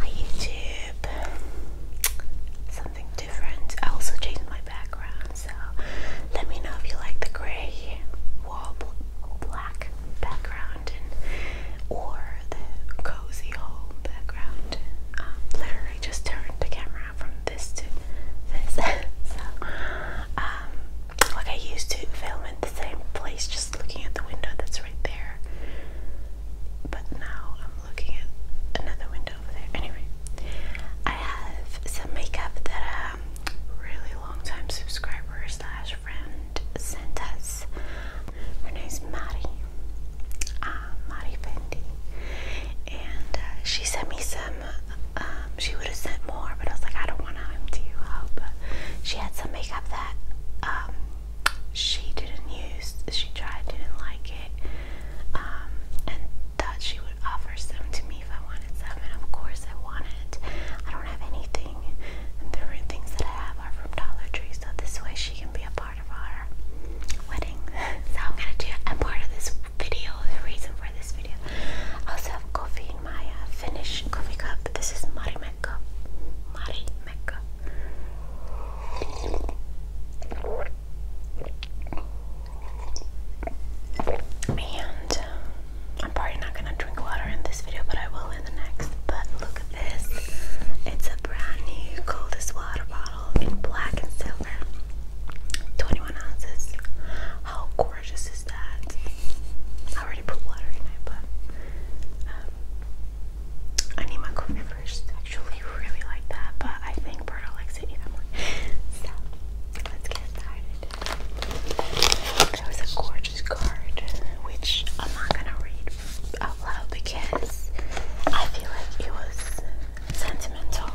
Hi YouTube. Something different. I also changed my background, so let me know if you like the grey wall black background or the cozy home background. Um, literally just turned the camera from this to this. so, um, like I used to film in the same place, just looking at the window that's right there. But now I'm looking at another window over there. Anyway, I have some makeup that um, really long time subscriber slash friend sent us. Her name's Maddie, uh, Maddie Fendi, and uh, she sent me some she would have sent more, but I was like, I don't want to empty you out. But she had some makeup that um, she didn't use. She tried, didn't like it, um, and thought she would offer some to me if I wanted some. And of course, I wanted. I don't have anything, and the only things that I have are from Dollar Tree. So this way, she can be a part of our wedding. so I'm gonna do. I'm part of this video, the reason for this video. I also have coffee in my uh, Finnish coffee cup. This is Marimekko. Marimekko. And um, I'm probably not gonna drink water in this video, but I will in the next. But look at this. It's a brand new coldest water bottle bottle in black and silver. 21 ounces. How gorgeous is that? I already put water in it, but um, I need my coffee first. Actually, really like that, but I think Berta likes it even more. So let's get started. There was a gorgeous card, which I'm not gonna read out loud because I feel like it was sentimental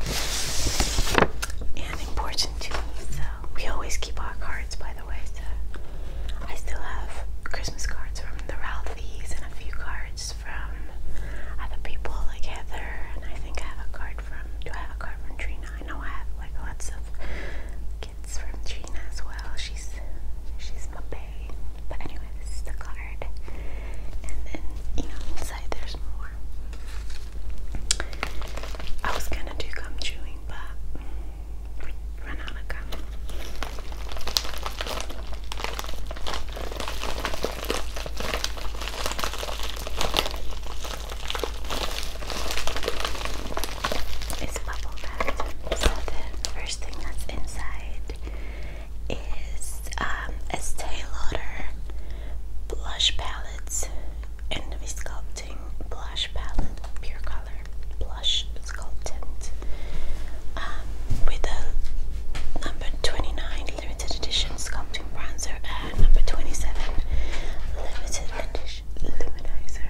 and important to me. So we always keep our cards, by the way. So I still have Christmas cards from the Ralphies and a few cards from other people like Heather. And I think I have a card from. Do I have a card from Trina? I know I have like lots of gifts from Trina as well. She's she's my bae. But anyway, this is the card. And then you know inside there's more. I was gonna do gum chewing, but ran out of gum. It's bubble So the first thing that's inside is um, a stay loader blush palettes, Enemy Sculpting Blush Palette, Pure Color Blush Sculptant, um, with a number 29 limited edition sculpting bronzer and number 27 limited edition luminizer.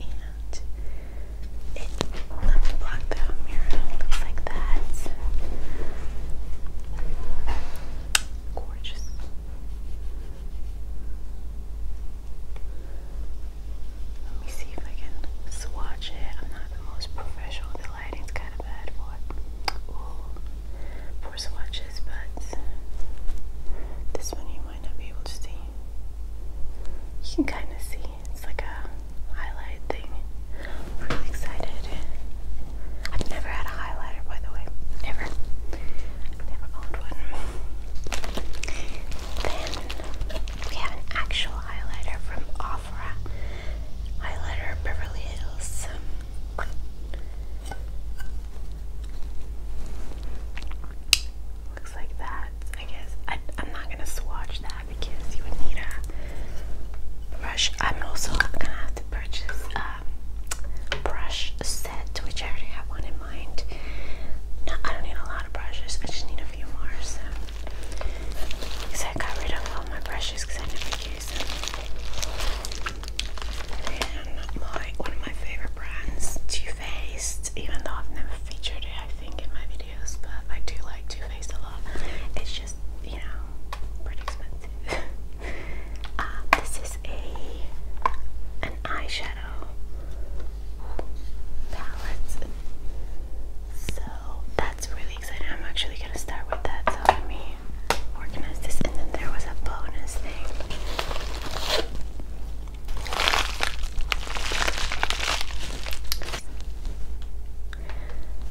And it let me block the mirror. like that. Gorgeous. Let me see if I can swatch it. I'm not the most professional. The lighting's kind of bad for swatches, but this one you might not be able to see. You can kind of see it's like a highlight thing. really excited. I've never had a highlighter, by the way. Never. I've never owned one. Then we have an actual highlighter from Ofra. Highlighter Beverly Hills. Looks like that, I guess. I'm not gonna swatch that because you would need a brush. I'm also gonna have to purchase a brush set, which I already have one in mind. I don't need a lot of brushes, I just need a few more. So, because I got rid of all my brushes because I never use them. And one of my favorite brands, Too Faced, even though I've never featured it, I think in my videos, but I do like Too Faced a lot just, you know, pretty expensive. Uh, this is a an eyeshadow palette. So that's really exciting. I'm actually gonna start with that. So let me organize this and then there was a bonus thing.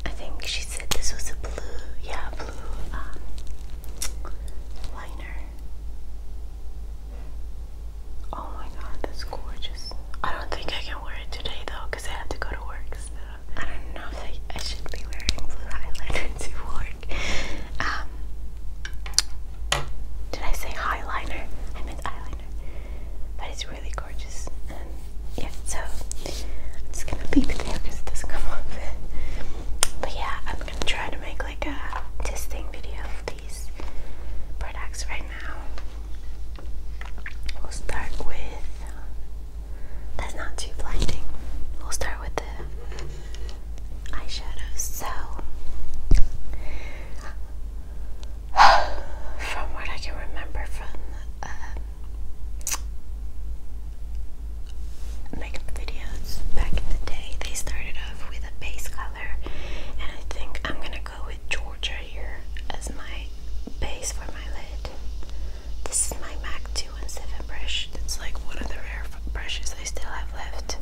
I think she said this was a blue, yeah, blue um, liner. Oh my god, that's gorgeous. I don't think I can wear it today though, because I have to go to work. I don't know I, should be wearing blue eyeliner to work. Um, did I say highliner? I meant eyeliner. But it's really gorgeous. Um, yeah, so I'm just gonna leave it there because it doesn't come off. but yeah, I'm gonna try to make like a testing video of these products right now. We'll start with. That's not too blinding. We'll start with the eyeshadows. So, from what I can remember from uh, makeup videos back in the day, they started off with a base color, and I think I'm gonna go with Georgia here as my base for my lid. This is my MAC 217 brush. That's like one of the rare brushes I still have left,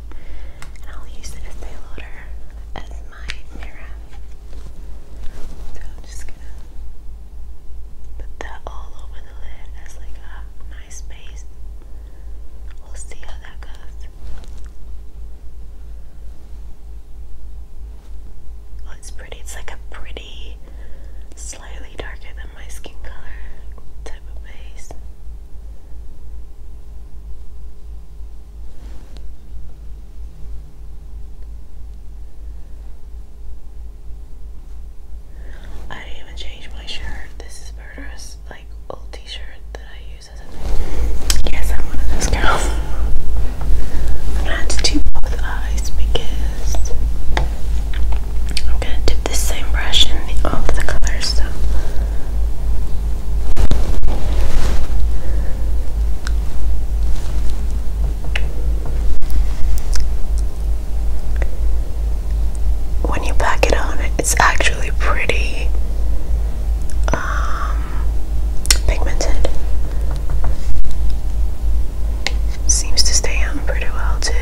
and I'll use it as day loader as my mirror. So I'm just put that all over the lid as like a nice space. We'll see how that goes. Oh, it's pretty. It's like a pretty, slightly darker than my skin color type of base. I didn't even change my shirt. This is murderous, like old T-shirt that I use as a thing. Yes, I'm one of those girls. I'm gonna do both eyes because I'm gonna dip this same brush in the, all the colors. So when you pack it on, it's actually pretty um, pigmented. Seems to stay on pretty well too.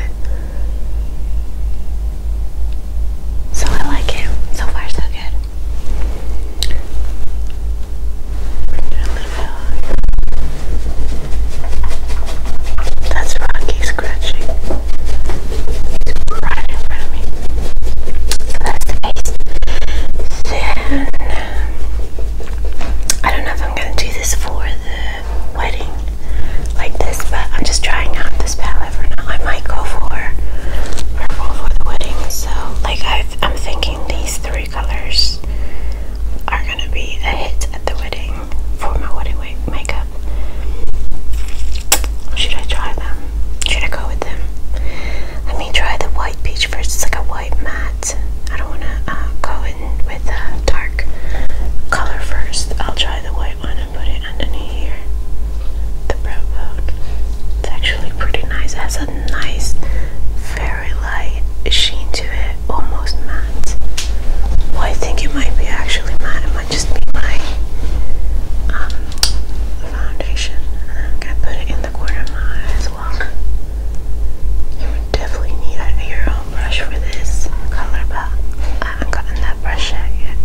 So I like it. So far, so good. That's Rocky scratching. right in front of me. That's nice. Then, I don't know if I'm going to do this for the wedding like this, but I'm just trying out this palette for now. I might go for purple for the wedding. So, like, I'm thinking these three colors are gonna be a hit at the wedding for my wedding makeup. Should I try them? Should I go with them? Let me try the white peach first. It's like a white matte. I don't wanna uh, go in with a dark color first. I'll try the white one and put it underneath here. The brow bone. It's actually pretty nice. has a nice, very very light sheen to it, almost matte. Well, I think it might be actually matte. It might just be my um, foundation. I'm gonna put it in the corner of my eye as You would definitely need a, your brush for this color, but I haven't gotten that brush yet.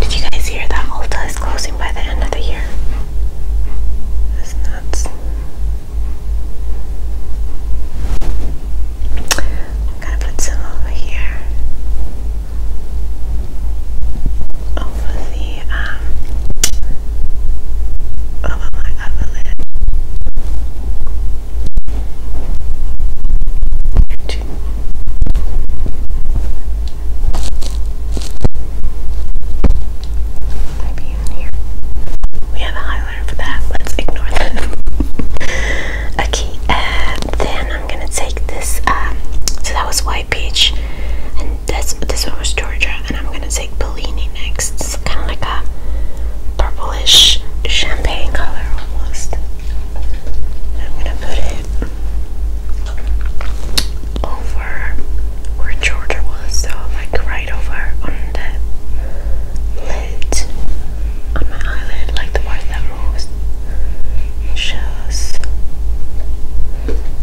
Did you guys hear that Ulta is closing by the end of the year? That's nuts. I'm gonna put some over here, over the um, over my upper lip. Maybe in here. We have a high for that. Let's ignore that. okay, and then I'm gonna take this. Um, so that was White Peach, and that's this one was Georgia, and I'm gonna take Bellini next. kind of like a purplish champagne color I'm gonna put it over where Georgia was, so like right over on the lid, on my eyelid, like the part that rose shows.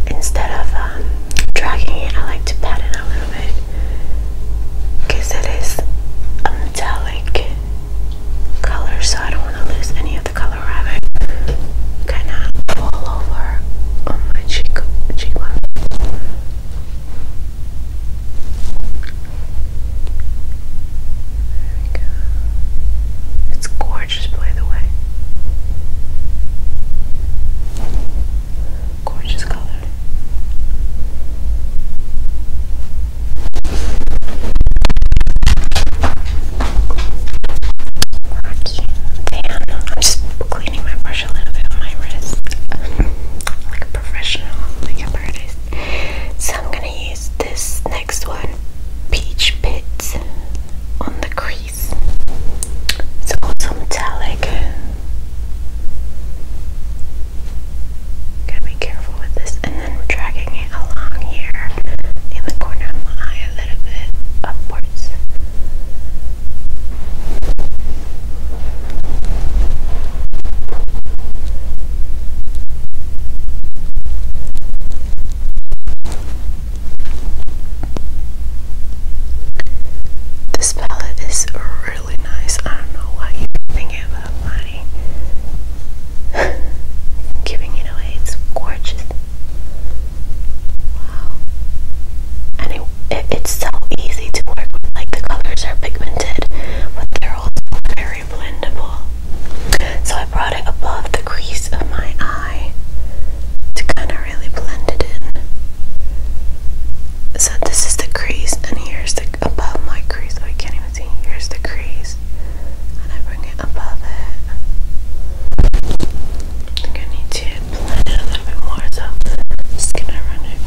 Instead of um, dragging it, I like to pat it a little bit because it is a metallic color, so I don't want to lose any of the color of it. Kind of all over on my cheek, cheekbone. It's gorgeous, by the way. Gorgeous color. Damn, I'm just cleaning my brush a little bit on my wrist. professional makeup artist. So I'm gonna use this next one, Peach Pits, on the crease. It's also metallic. Gotta be careful with this, and then dragging it along here in the corner of my eye a little bit upwards. This palette is really nice. I don't know why you're thinking about money. Giving it away, it's gorgeous. Wow it's so easy to work with. Like the colors are pigmented, but they're also very blendable. So I brought it above the crease of my eye to kind of really blend it in. So this is the crease, and here's the above my crease. Oh, I can't even see. Here's the crease, and I bring it above it. think I need to blend it a little bit more, so just gonna run it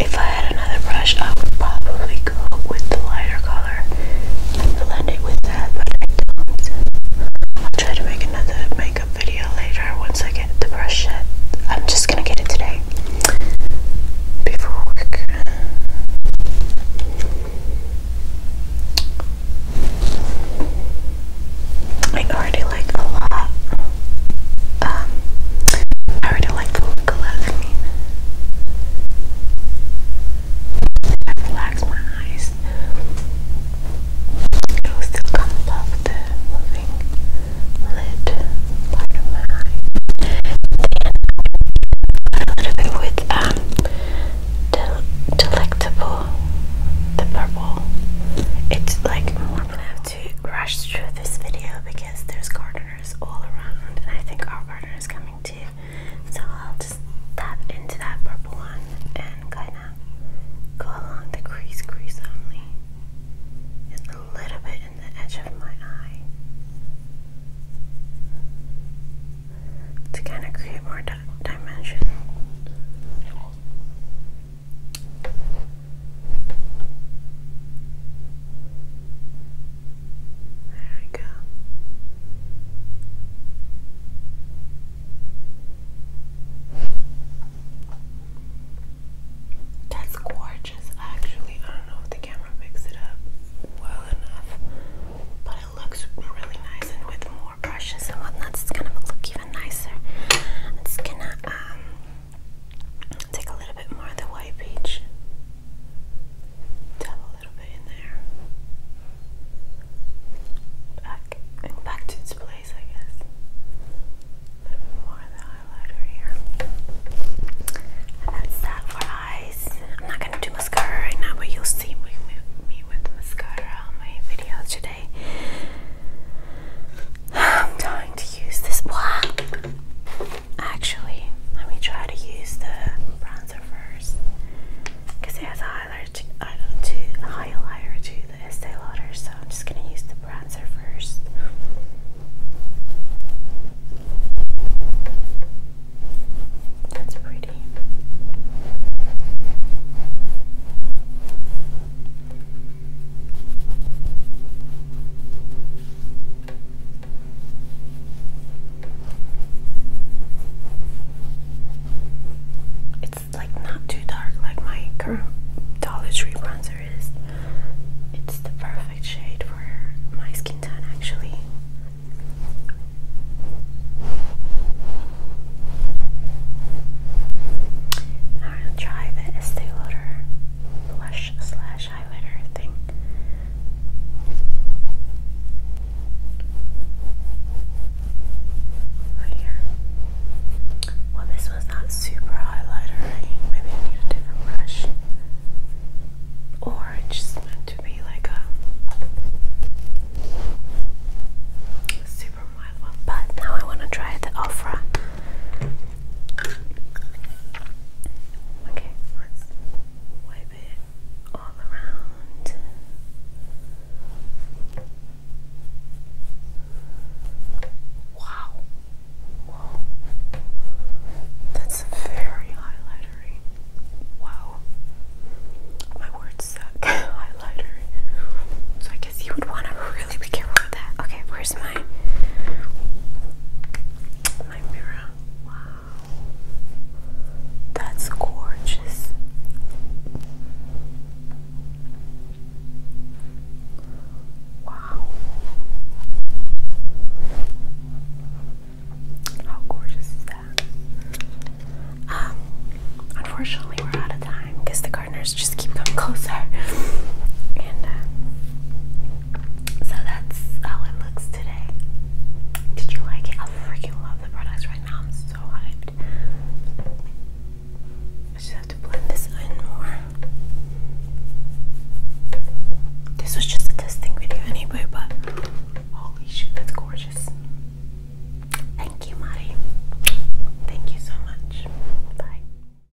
if I had another brush, I would probably go with the lighter color and blend it with that, I will try to make another makeup video later once I get the brush I'm just gonna get it today before work. I already like a lot. Um, I really like the look I relax my eyes. It will still come above the moving lid part of my eye. a little bit with um, del delectable, the purple. It's like to rush through this video because there's gardeners all around and I think our gardener is coming too. So I'll just tap into that purple one and kind of go along the crease, crease only. And a little bit in the edge of my eye. To kind of create more dimension. There we go. That's gorgeous, actually. I don't know if the camera picks it up well enough, but it looks really nice. And with more brushes and whatnot, it's gonna look even nicer. It's gonna um Take a little bit more of the white peach. Dab a little bit in there. Back and back to its place, I guess. A little more of the highlighter here. that's that for eyes. I'm not gonna do mascara right now, but you'll see me with mascara on my videos today. I'm trying to use this one. Actually, let me try to use the bronzer first because it has a highlighter to, uh, to a highlighter to the Estee Lauder, so I'm just gonna use the bronzer first. That's pretty. It's like not too dark like my current Dollar Tree bronzer is. It's the perfect shade for my skin tone actually. I'll try the Estee Lauder blush slash highlighter thing. Right oh, here. Well, this was not super highlightery. Maybe I need a different brush. Or it's just meant to be like a super mild one. But now I want to try the Ofra Okay, let's wipe it all around. Wow. Whoa. That's very highlightery. Wow. My words suck. highlighter. So I you would want to really be careful with that. Okay, where's my my mirror? Wow, that's gorgeous. Wow, how gorgeous is that? Um, unfortunately, we're out of time because the just keep coming closer. And uh, so that's how it looks today. Did you like it? I freaking love the products right now. I'm so hyped. I just have to blend this in more. This was just a testing video anyway, but holy shit, that's gorgeous. Thank you, Mari. Thank you so much. Bye.